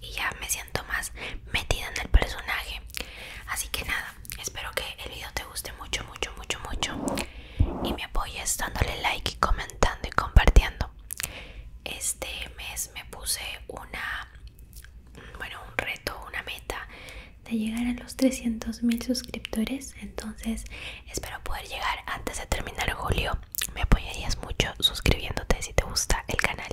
y ya me siento más metida en el personaje. Así que nada, espero que el video te guste mucho, mucho, mucho, mucho. Y me apoyes dándole like y comentando y compartiendo. Este mes me puse una, bueno, un reto, una meta de llegar a los 300 mil suscriptores. Entonces espero poder llegar antes de terminar julio. Me apoyarías mucho suscribiéndote si te gusta el canal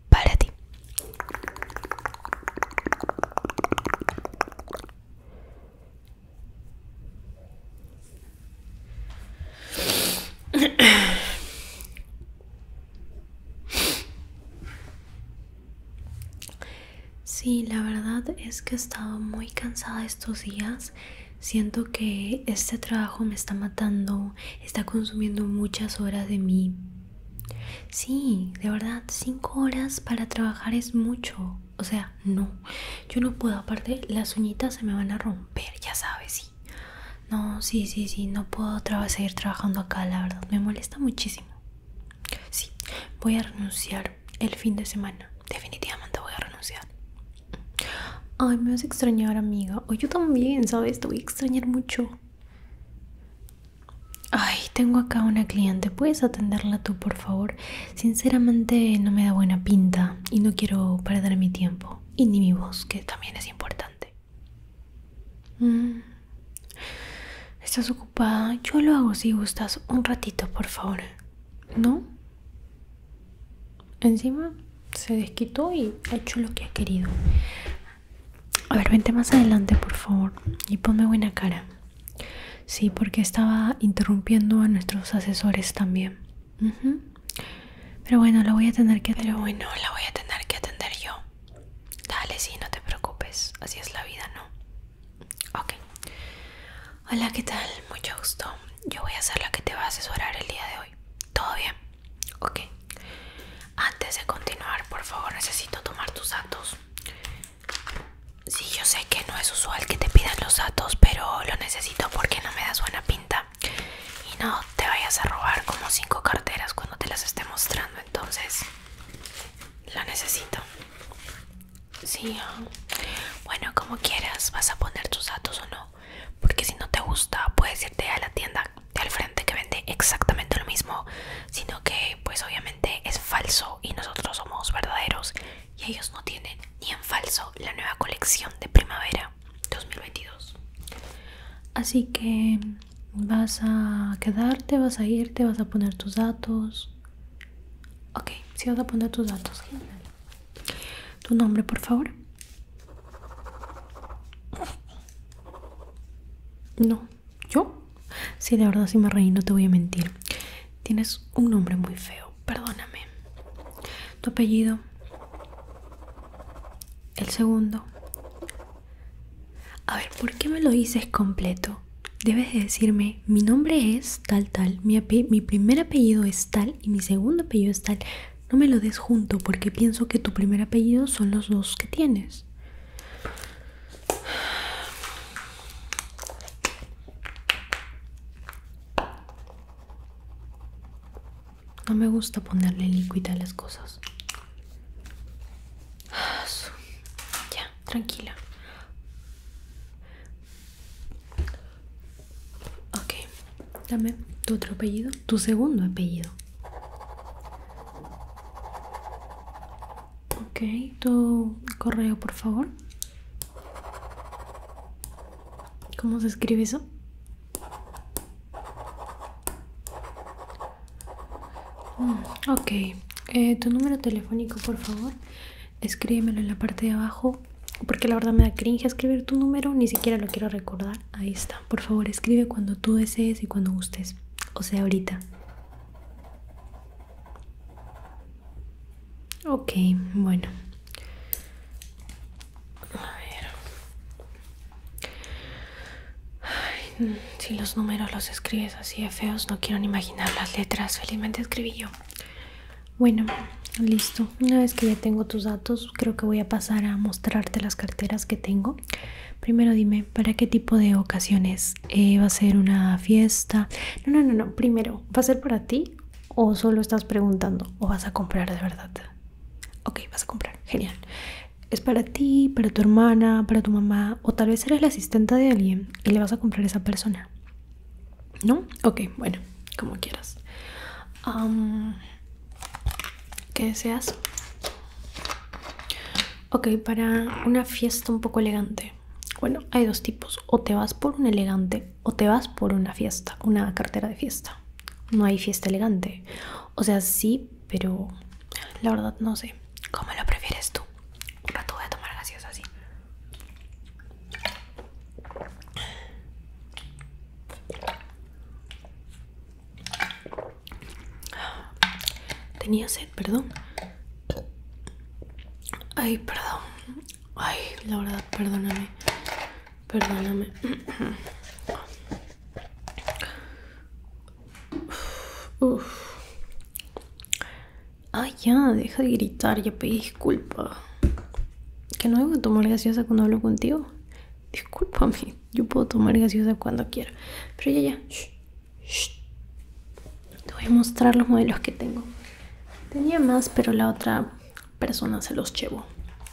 para ti. Sí, la verdad es que he estado muy cansada estos días. Siento que este trabajo me está matando, está consumiendo muchas horas de mí. Sí, de verdad, cinco horas para trabajar es mucho. O sea, no, yo no puedo. Aparte, las uñitas se me van a romper, ya sabes, sí. No, sí, sí, sí, no puedo seguir trabajando acá, la verdad. Me molesta muchísimo. Sí, voy a renunciar el fin de semana. Definitivamente voy a renunciar. Ay, me vas a extrañar, amiga. O yo también, ¿sabes? Te voy a extrañar mucho. Ay, tengo acá una cliente. ¿Puedes atenderla tú, por favor? Sinceramente no me da buena pinta y no quiero perder mi tiempo. Y ni mi voz, que también es importante. Mm. ¿Estás ocupada? Yo lo hago si gustas. Un ratito, por favor. ¿No? Encima se desquitó y ha hecho lo que ha querido. A ver, vente más adelante, por favor. Y ponme buena cara. Sí, porque estaba interrumpiendo a nuestros asesores también. Pero bueno, la voy a tener que Pero bueno, la voy a tener que atender yo. Dale, sí, no te preocupes. Así es la vida, ¿no? Ok. Hola, ¿qué tal? Mucho gusto. Yo voy a ser la que te va a asesorar el día de hoy. ¿Todo bien? Ok. Antes de continuar, por favor, necesito tomar tus datos. Sí, yo sé que no es usual que te pidan los datos, pero lo necesito porque no me das buena pinta. Y no te vayas a robar como cinco carteras cuando te las esté mostrando, entonces lo necesito. Sí, ah. bueno, como quieras, vas a poner tus datos o no porque si no te gusta puedes irte a la tienda de al frente que vende exactamente lo mismo sino que pues obviamente es falso y nosotros somos verdaderos y ellos no tienen ni en falso la nueva colección de primavera 2022 así que vas a quedarte vas a irte vas a poner tus datos ok si vas a poner tus datos tu nombre por favor no, ¿yo? Sí, de verdad si me reí, no te voy a mentir. Tienes un nombre muy feo, perdóname. Tu apellido. El segundo. A ver, ¿por qué me lo dices completo? Debes de decirme, mi nombre es tal, tal, mi, mi primer apellido es tal y mi segundo apellido es tal no me lo des junto porque pienso que tu primer apellido son los dos que tienes. No me gusta ponerle líquida a las cosas. Ah, ya, tranquila. Ok. Dame tu otro apellido, tu segundo apellido. Ok, tu correo, por favor. ¿Cómo se escribe eso? Mm, ok, eh, tu número telefónico, por favor. Escríbemelo en la parte de abajo. Porque la verdad me da cringe escribir tu número, ni siquiera lo quiero recordar ahí está. Por favor, escribe cuando tú desees y cuando gustes. O sea, ahorita. Ok, bueno. A ver. Mm, si los números los escribes así de feos, no quiero ni imaginar las letras. Felizmente escribí yo. Bueno, listo. Una vez que ya tengo tus datos, creo que voy a pasar a mostrarte las carteras que tengo primero dime para qué tipo de ocasiones eh, va a ser una fiesta no no no no primero va a ser para ti o solo estás preguntando o vas a comprar de verdad ok vas a comprar genial es para ti para tu hermana para tu mamá o tal vez eres la asistente de alguien y le vas a comprar a esa persona no ok bueno como quieras ¿Qué deseas? Ok, para una fiesta un poco elegante. Bueno, hay dos tipos. O te vas por un elegante o te vas por una fiesta, una cartera de fiesta. No hay fiesta elegante. O sea, sí, pero la verdad no sé. ¿Cómo lo prefieres tú? Un tú voy a tomar fiestas así. Tenía sed, perdón. Ay, perdón. Ay, la verdad, perdóname. Perdóname. Ay, ya, deja de gritar, ya pedí disculpa. Que no debo tomar hasta cuando hablo contigo. Disculpame, yo puedo tomar gaseosa cuando quiera. Pero ya, ya, te voy a mostrar los modelos que tengo. Tenía más, pero la otra persona se los llevó.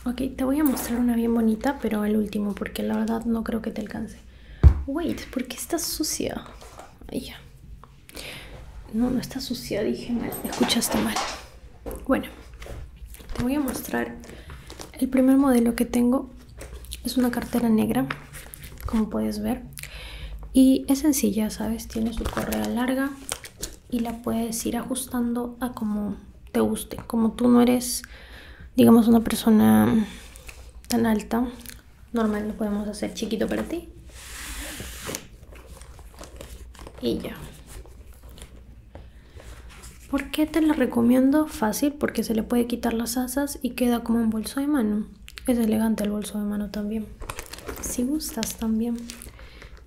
Ok, te voy a mostrar una bien bonita, pero el último, porque la verdad no creo que te alcance. Wait, ¿por qué está sucia? ahí ya. No, no está sucia, dije mal. Escuchaste mal. Bueno, te voy a mostrar el primer modelo que tengo. Es una cartera negra, como puedes ver. Y es sencilla, ¿sabes? Tiene su correa larga y la puedes ir ajustando a como te guste. Como tú no eres, digamos, una persona tan alta, normal lo podemos hacer chiquito para ti. Y ya. ¿Por qué te la recomiendo? Fácil, porque se le puede quitar las asas y queda como un bolso de mano. Es elegante el bolso de mano también. Si gustas también.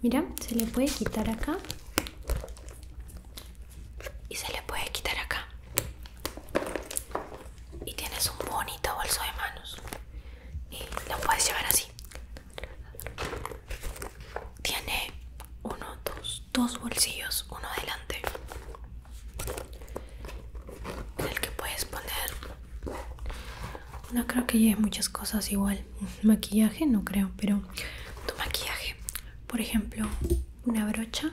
Mira, se le puede quitar acá. Y se le puede quitar acá. Y tienes un bonito bolso de manos. Y lo puedes llevar así tiene uno, dos, dos bolsillos, uno adelante, en el que puedes poner, no creo que lleves muchas cosas igual, maquillaje no creo, pero tu maquillaje, por ejemplo, una brocha,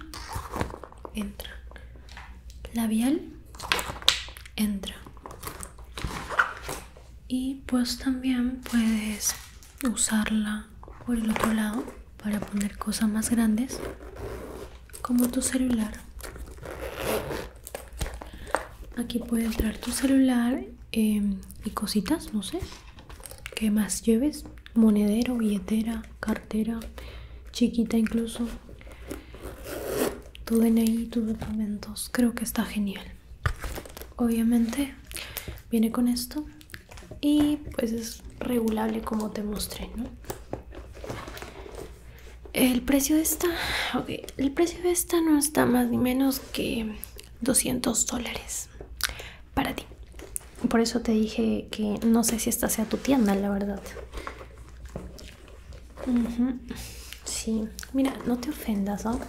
entra, labial, entra, y pues también puedes usarla por el otro lado para poner cosas más grandes como tu celular aquí puede entrar tu celular em, y cositas no sé que más lleves monedero billetera cartera chiquita incluso tu DNI tus documentos creo que está genial obviamente viene con esto y pues es regulable como te mostré ¿no? el precio de esta el precio de esta no está más ni menos que 200 dólares para ti por eso te dije que no sé si esta sea tu tienda la verdad sí mira no te ofendas ¿no?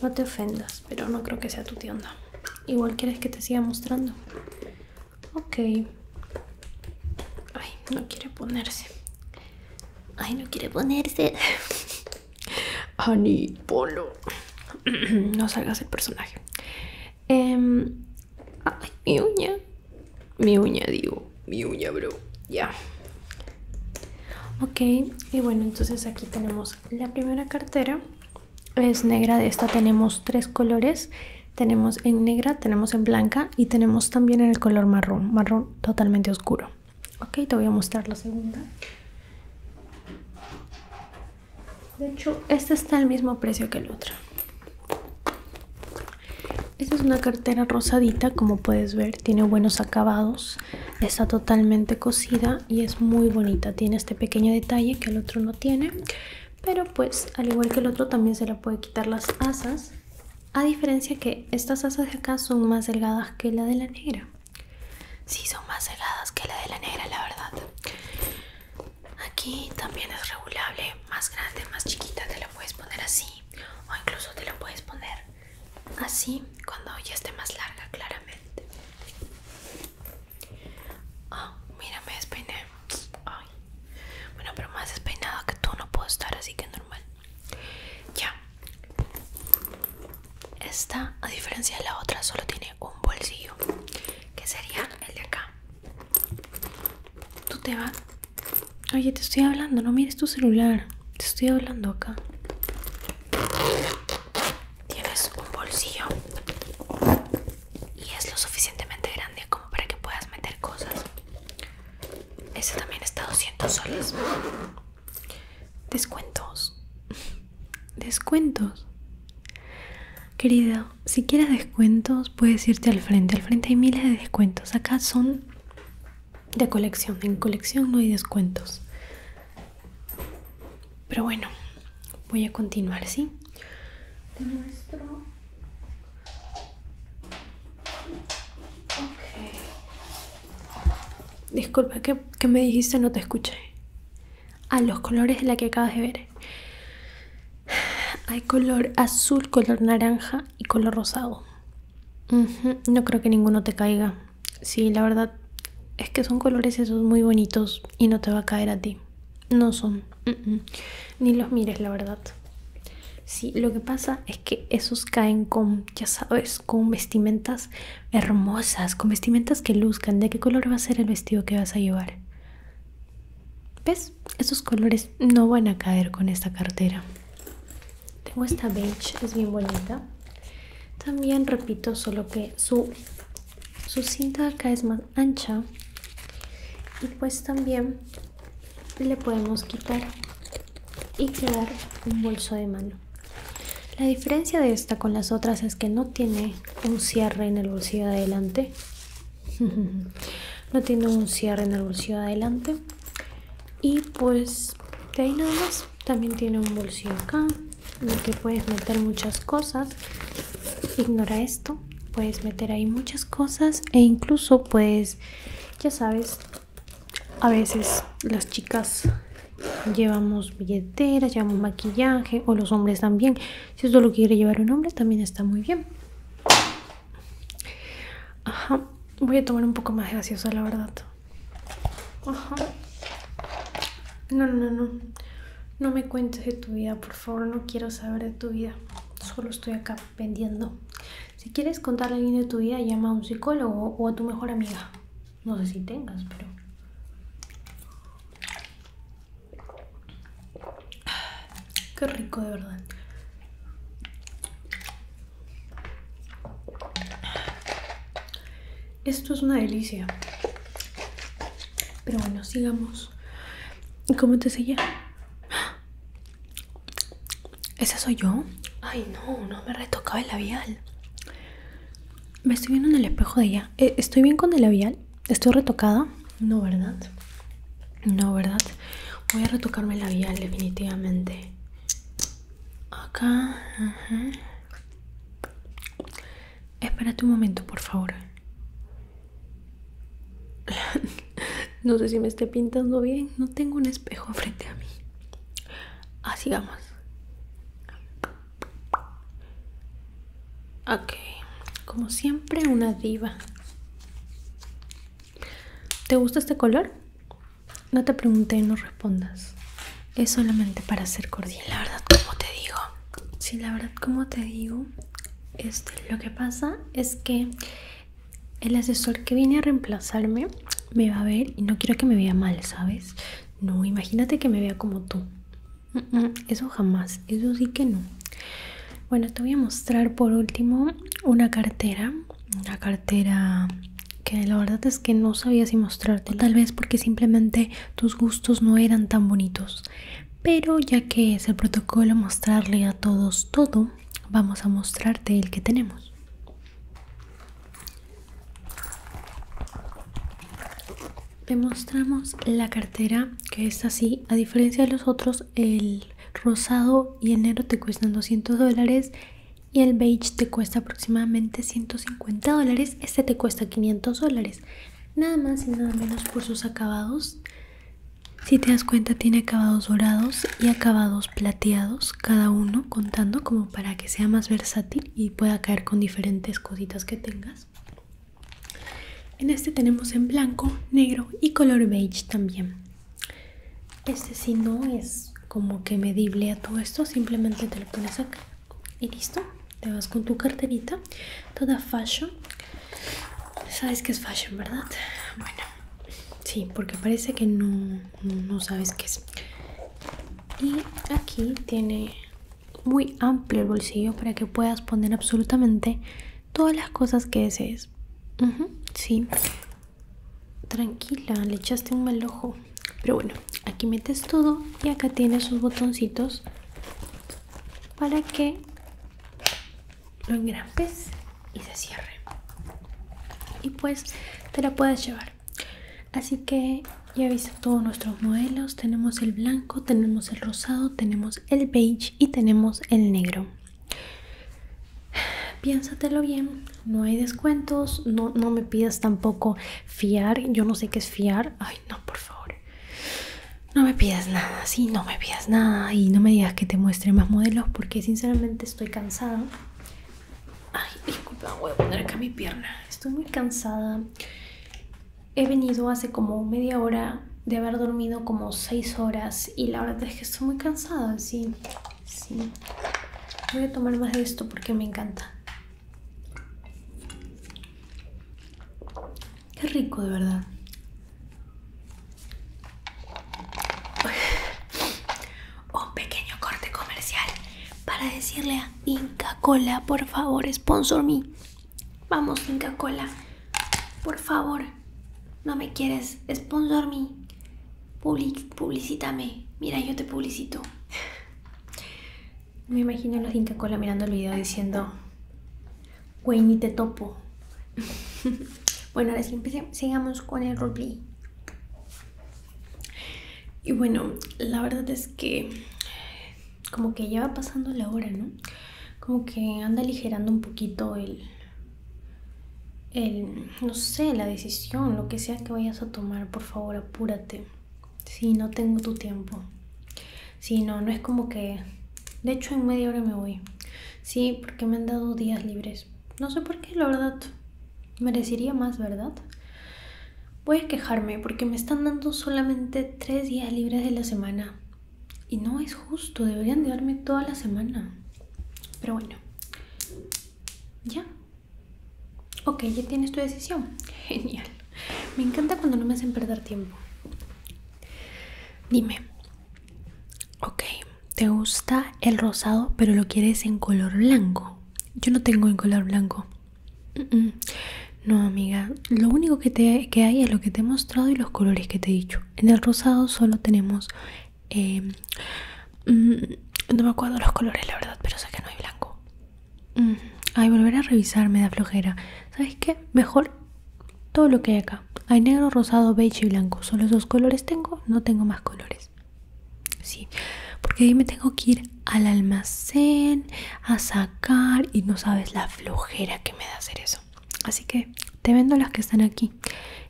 No te ofendas, pero no creo que sea tu tienda. Igual quieres que te siga mostrando. Ok. Ay, no quiere ponerse. Ay, no quiere ponerse. Ani, polo. no salgas el personaje. Em, ay, mi uña. Mi uña, digo. Mi uña, bro. Ya. Ok, y bueno, entonces aquí tenemos la primera cartera. Es negra, de esta tenemos tres colores. Tenemos en negra, tenemos en blanca y tenemos también en el color marrón, marrón totalmente oscuro. Ok, te voy a mostrar la segunda. De hecho, esta está al mismo precio que el otro. Esta es una cartera rosadita, como puedes ver, tiene buenos acabados está totalmente cocida y es muy bonita tiene este pequeño detalle que el otro no tiene pero pues al igual que el otro también se la puede quitar las asas a diferencia que estas asas de acá son más delgadas que la de la negra si son más delgadas que la de la negra, la verdad. Aquí también es regulable, más grande, más chiquita, te la puedes poner así o incluso te la puedes poner así ah, cuando ya esté más larga claramente oh, mira me despeiné bueno pero más despeinado que tú no puedo estar así que normal ya esta a diferencia de la otra solo tiene un bolsillo que sería el de acá tú te vas oye te estoy hablando no mires tu celular te estoy hablando acá. Tienes un bolsillo y es lo suficientemente grande como para que puedas meter cosas. Ese también está 200 soles. Descuentos. Descuentos. querida, si quieres descuentos puedes irte al frente. Al frente hay miles de descuentos. Acá son de colección. En colección no hay descuentos. Pero bueno, voy a continuar, ¿sí? Te muestro. Disculpa, ¿qué, me dijiste? No te escuché. A ah, los colores de la que acabas de ver. Hay color azul, color naranja y color rosado. No creo que ninguno te caiga. Sí, la verdad es que son colores esos muy bonitos y no te va a caer a ti. No son. Ni los mires, la verdad. Sí, lo que pasa es que esos caen con, ya sabes, con vestimentas hermosas, con vestimentas que luzcan. ¿De qué color va a ser el vestido que vas a llevar? ¿Ves? Esos colores no van a caer con esta cartera tengo esta beige es bien bonita también repito solo que su su cinta acá es más ancha y pues también le podemos quitar y quedar un bolso de mano la diferencia de esta con las otras es que no tiene un cierre en el bolsillo de adelante no tiene un cierre en el bolsillo de adelante y pues de ahí nada más también tiene un bolsillo acá en que puedes meter muchas cosas ignora esto puedes meter ahí muchas cosas e incluso pues ya sabes a veces las chicas llevamos billeteras llevamos maquillaje o los hombres también si esto lo quiere llevar un hombre también está muy bien Ajá, voy a tomar un poco más de gaseosa, la verdad. Ajá. No, no, no. No me cuentes de tu vida, por favor, no quiero saber de tu vida. Solo estoy acá vendiendo. Si quieres contar a alguien de tu vida, llama a un psicólogo o a tu mejor amiga. No sé si tengas, pero... Qué rico, de verdad. Esto es una delicia. Pero bueno, sigamos. ¿Cómo te sella? ¿Esa soy yo? Ay, no, no me retocaba el labial. Me estoy viendo en el espejo de ella. Eh, ¿Estoy bien con el labial? ¿Estoy retocada? No, ¿verdad? No, ¿verdad? Voy a retocarme el labial, definitivamente. Acá. Espérate un momento, por favor. no sé si me esté pintando bien. No tengo un espejo frente a mí. Así ah, vamos. Ok. Como siempre, una diva. ¿Te gusta este color? No te pregunte no respondas. Es solamente para ser cordial. La verdad, como te digo. si la verdad, como te digo, este, lo que pasa es que el asesor que viene a reemplazarme me va a ver y no quiero que me vea mal, ¿sabes? No, imagínate que me vea como tú. Eso jamás, eso sí que no. Bueno, te voy a mostrar por último una cartera la cartera que la verdad es que no sabía si mostrarte tal vez porque simplemente tus gustos no eran tan bonitos pero ya que es el protocolo mostrarle a todos todo vamos a mostrarte el que tenemos te mostramos la cartera que es así a diferencia de los otros el rosado y enero negro te cuestan 200 dólares y el beige te cuesta aproximadamente 150 dólares. Este te cuesta 500 dólares. Nada más y nada menos por sus acabados. Si te das cuenta tiene acabados dorados y acabados plateados, cada uno contando como para que sea más versátil y pueda caer con diferentes cositas que tengas. En este tenemos en blanco, negro y color beige también. Este si no es como que medible a todo esto, simplemente te lo pones acá y listo. Te vas con tu carterita, toda fashion. Sabes que es fashion, ¿verdad? Bueno, sí, porque parece que no, sabes qué es. Y aquí tiene muy amplio el bolsillo para que puedas poner absolutamente todas las cosas que desees. sí. Tranquila, le echaste un mal ojo. Pero bueno, aquí metes todo y acá tienes sus botoncitos para que lo engrampes y se cierre. Y pues te la puedes llevar. Así que ya viste todos nuestros modelos. Tenemos el blanco, tenemos el rosado, tenemos el beige y tenemos el negro. Piénsatelo bien, no hay descuentos, no, me pidas tampoco fiar, yo no sé qué es fiar, ay no, por favor, no me pidas nada, si no me pidas nada y no me digas que te muestre más modelos porque sinceramente estoy cansada. Ay, disculpa, voy a poner acá mi pierna, estoy muy cansada. He venido hace como media hora de haber dormido como 6 horas y la verdad es que estoy muy cansada, sí, sí. Voy a tomar más de esto porque me encanta. Qué rico, de verdad. Un pequeño corte comercial para decirle a Inca Cola, por favor, sponsor me. Vamos, Inca Cola. Por favor, no me quieres. Sponsor me. Public, publicítame. Mira, yo te publicito. Me imagino la los Cola mirando el video diciendo, güey, ni te topo. bueno, ahora sí, empecemos. sigamos con el roleplay. Y bueno, la verdad es que como que ya va pasando la hora, ¿no? Como que anda aligerando un poquito el, no sé, la decisión, lo que sea que vayas a tomar, por favor, apúrate. Si no tengo tu tiempo. Si no, no es como que... De hecho, en media hora me voy. Sí, porque me han dado días libres. No sé por qué, la verdad. Merecería más, ¿verdad? Voy a quejarme porque me están dando solamente tres días libres de la semana. Y no es justo, deberían de darme toda la semana. Pero bueno, ya. Ok, ya tienes tu decisión. Genial. Me encanta cuando no me hacen perder tiempo. Dime. Ok, ¿te gusta el rosado pero lo quieres en color blanco? Yo no tengo en color blanco. No, amiga. Lo único que, que hay es lo que te he mostrado y los colores que te he dicho. En el rosado solo tenemos... Em, mm, no me acuerdo los colores, la verdad, pero sé que no hay blanco. Mm, ay, volver a revisar me da flojera. ¿Sabes qué? Mejor todo lo que hay acá. Hay negro, rosado, beige y blanco. Solo dos colores tengo, no tengo más colores. Sí, porque ahí me tengo que ir al almacén a sacar y no sabes la flojera que me da hacer eso. Así que te vendo las que están aquí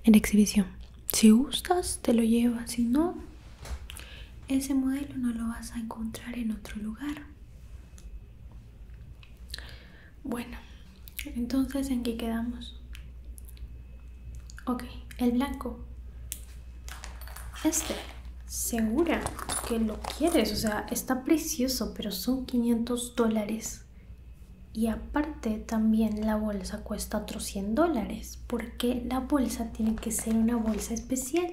en exhibición. Si gustas, te lo llevas. Si no, ese modelo no lo vas a encontrar en otro lugar. Bueno, entonces en qué quedamos. Ok, el blanco. Este, segura que lo quieres. O sea, está precioso, pero son 500 dólares. Y aparte también la bolsa cuesta otros 100 dólares, porque la bolsa tiene que ser una bolsa especial.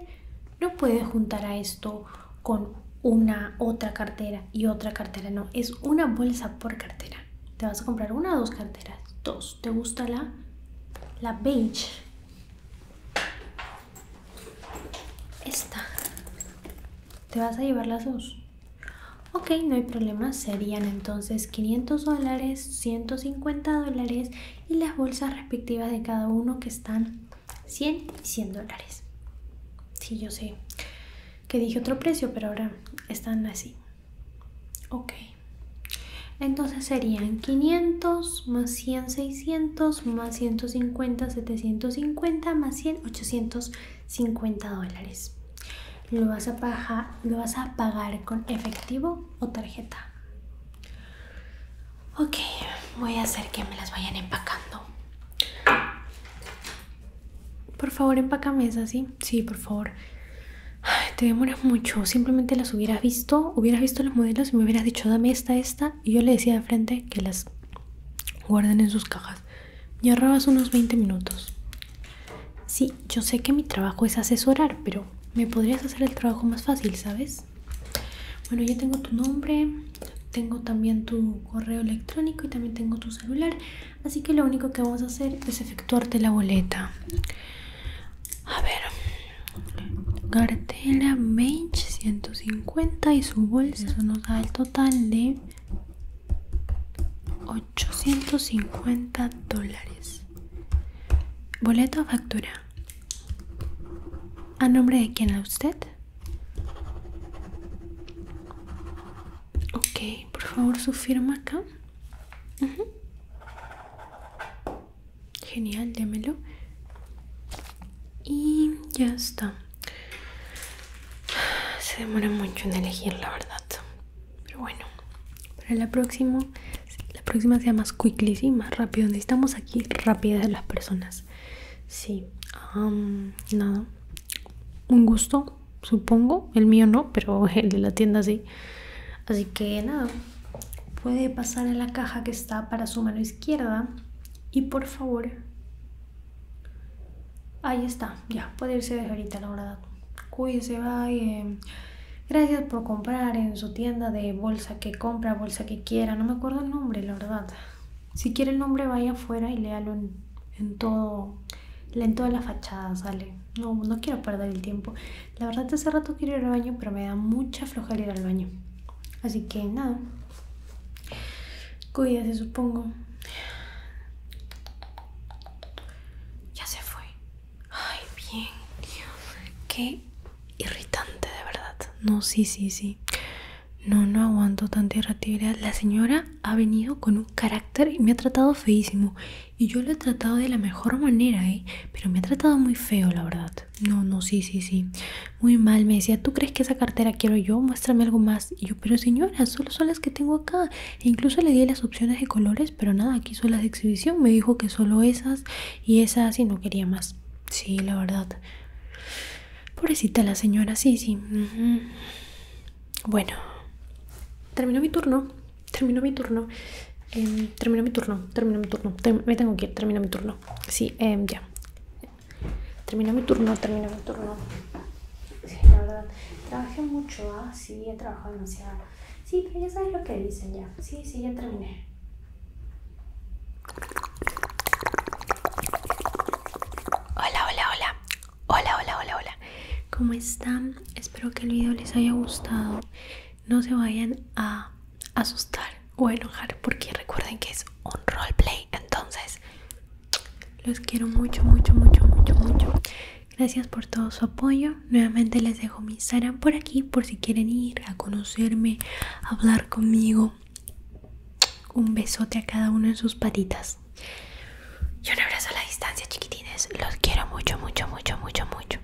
No puedes juntar a esto con una otra cartera y otra cartera, no, es una bolsa por cartera. Te vas a comprar una o dos carteras, dos. ¿Te gusta la, la beige? Esta. Te vas a llevar las dos. Ok, no hay problema, serían entonces 500 dólares, 150 dólares y las bolsas respectivas de cada uno que están 100 y 100 dólares. Sí, yo sé que dije otro precio, pero ahora están así. Ok, entonces serían 500 más 100, 600 más 150, 750 más 100, $800. 50 dólares. ¿Lo vas, a pagar, ¿Lo vas a pagar con efectivo o tarjeta? Ok, voy a hacer que me las vayan empacando. Por favor, empácame esas, ¿sí? Sí, por favor. te demoras mucho. Simplemente las hubieras visto, hubieras visto los modelos y me hubieras dicho, dame esta, esta. Y yo le decía de frente que las guarden en sus cajas y arrabas unos 20 minutos. Sí, yo sé que mi trabajo es asesorar, pero me podrías hacer el trabajo más fácil, ¿sabes? Bueno, ya tengo tu nombre, tengo también tu correo electrónico y también tengo tu celular, así que lo único que vamos a hacer es efectuarte la boleta. A ver, Cartela mage, 150 y su bolsa, eso nos da el total de 850 dólares. Boleto factura. ¿A nombre de quién a usted? Ok, por favor su firma acá. Genial, démelo. Y ya está se demora mucho en elegir, la verdad. Pero bueno, para la próxima, la próxima sea más quickly, y más rápido. Necesitamos aquí rápidas de las personas. Sí, nada. Un gusto, supongo. El mío no, pero el de la tienda sí. Así que nada, puede pasar en la caja que está para su mano izquierda y por favor Ahí está, ya, puede irse de ahorita, la verdad. Cuídese, va y eh, gracias por comprar en su tienda de bolsa que compra, bolsa que quiera. No me acuerdo el nombre, la verdad. Si quiere el nombre, vaya afuera y léalo en, todo todo. En toda la fachada sale. No, no quiero perder el tiempo. La verdad, hace rato quiero ir al baño, pero me da mucha flojera ir al baño. Así que nada, Cuídate, supongo. Ya se fue. Ay, bien. Qué irritante, de verdad. No, sí, sí, sí. No, no aguanto tanta irritabilidad. La señora ha venido con un carácter y me ha tratado feísimo. Y yo lo he tratado de la mejor manera, ¿eh? Pero me ha tratado muy feo, la verdad. No, no, sí, sí, sí muy mal. Me decía, ¿tú crees que esa cartera quiero yo? Muéstrame algo más. Y yo, pero señora, solo son las que tengo acá. E incluso le di las opciones de colores, pero nada, aquí son las de exhibición. Me dijo que solo esas y esas y no quería más. Sí, la verdad. Pobrecita la señora, sí, sí. Bueno, terminó mi turno. Terminó mi turno. Em, terminó mi turno. Terminó mi turno. me tengo que ir. Terminó mi turno. Sí, em, ya. Terminó mi turno, terminó mi turno. Sí, la verdad. Trabajé mucho, ¿ah? Sí, he trabajado demasiado. Sí, pero ya sabes lo que dicen ya. Sí, sí, ya terminé. Hola, hola, hola. Hola, hola, hola, hola. ¿Cómo están? Espero que el video les haya gustado. No se vayan a asustar o enojar porque recuerden que es un roleplay entonces los quiero mucho mucho mucho mucho mucho gracias por todo su apoyo nuevamente les dejo mi Instagram por aquí por si quieren ir a conocerme hablar conmigo un besote a cada uno en sus patitas y un abrazo a la distancia chiquitines los quiero mucho mucho mucho mucho mucho